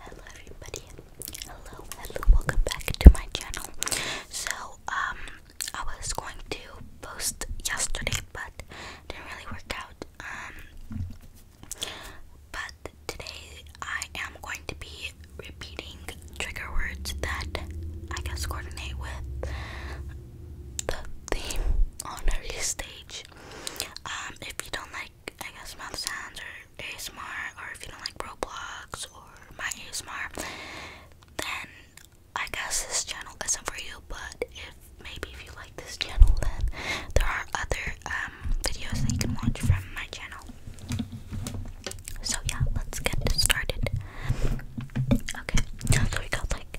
Hello everybody. Hello, hello. Welcome back to my channel. So, um I was going to post yesterday but didn't really work out. Um but today I am going to be repeating trigger words that I guess coordinate with the theme on early stage. Um if you don't like I guess mouth sounds or ASMR or if you don't like Roblox or my ASMR then I guess this channel isn't for you but if maybe if you like this channel then there are other um, videos that you can watch from my channel. So yeah, let's get started. Okay, so we got like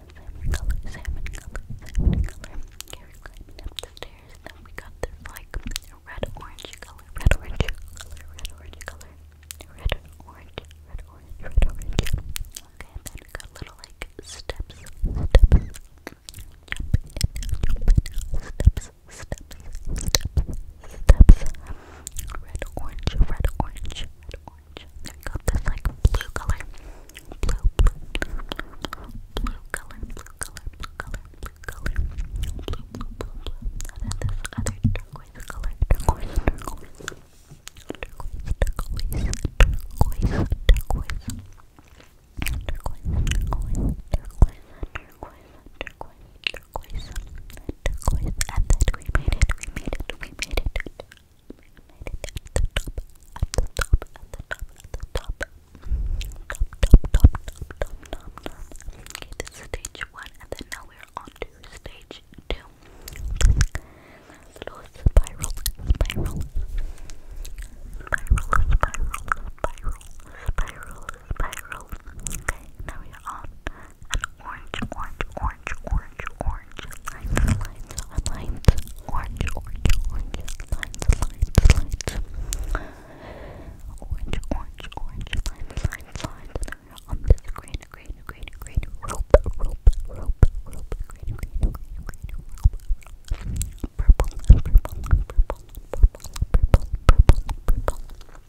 red-orange color, red-orange color, red-orange color, red-orange, red-orange, Okay, and then we got little like steps, steps. Jump in, jump in, steps, steps, steps, steps. red, orange, red, orange orange. I got this like blue color. Blue, blue, blue, color, blue color, blue color, blue color. Blue, blue, blue, blue. then this other turquoise color. Turquoise, turquoise. Turquoise, turquoise. Turquoise, turquoise. Turquoise, turquoise. Turquoise, turquoise. Turquoise, turquoise. Turquoise. And we made it, we made it, we made it. Okay, this is stage one, and then now we're on stage two. Little spiral, spiral, spiral, spiral, spiral, spiral, spiral. Okay, now we are on an orange, orange, orange, orange, orange, lines, lines, lines, orange, orange, orange, lines, lines, lines, orange, orange, orange, lines, lines, lines, on this green, green, green, green, rope, rope, rope, rope, green, green, green, rope, purple, purple, purple, purple, purple, purple,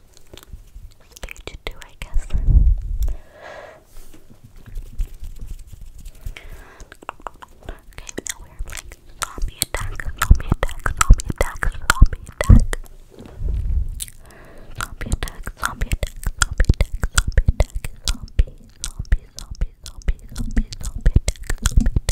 page two, I guess. Okay, now we're playing zombie attack, zombie attack, zombie attack, zombie attack. Zombie attack, zombie attack, zombie attack, zombie attack, zombie, zombie, zombie, zombie, zombie, zombie attack, zombie attack.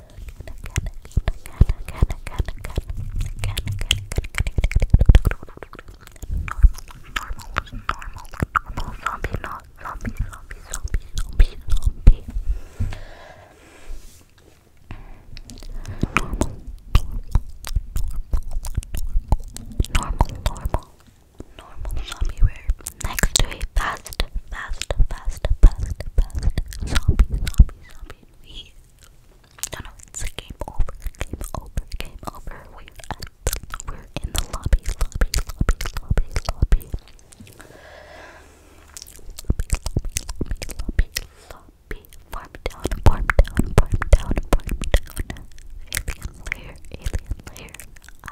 normal zombie, not zombie, zombie, zombie, zombie, zombie. Normal, normal, normal, normal zombie rare. Next to a fast, fast, fast, fast, fast zombie, zombie, zombie. We no, no, it's a game over, game over, game over. We're at the, we're in the lobby, lobby, lobby, lobby, lobby, lobby, lobby, lobby, lobby. Farm down, farm down, farm down, farm down. Alien layer, alien layer.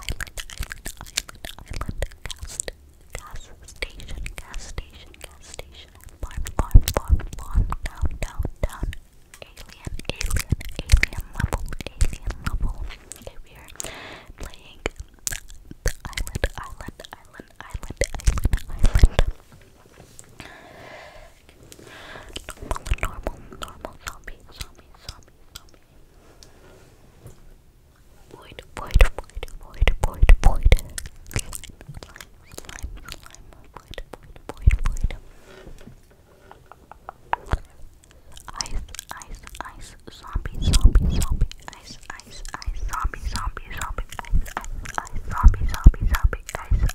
Island, island, island, island. Cast, gas station, gas station, gas station, farm, farm, farm, farm, down, down, down, alien, alien, alien level, alien level. Okay, playing island, island, island, island, island, island. Normal, normal, normal, zombie, zombie, zombie, zombie void, void, void, void, void, void, slime, slime, slime, void, void, void, void, ice, ice, ice, zombie, zombie, zombie, ice, ice, ice, zombie, zombie, zombie, ice, ice, ice, zombie, zombie, zombie, ice, ice,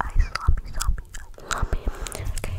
ice, zombie, zombie, zombie, okay,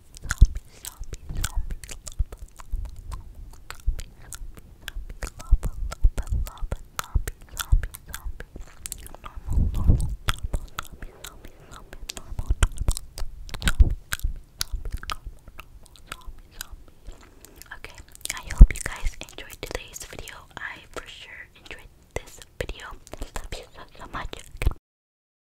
Okay, I hope you guys enjoyed today's video. I for sure enjoyed this video. so much.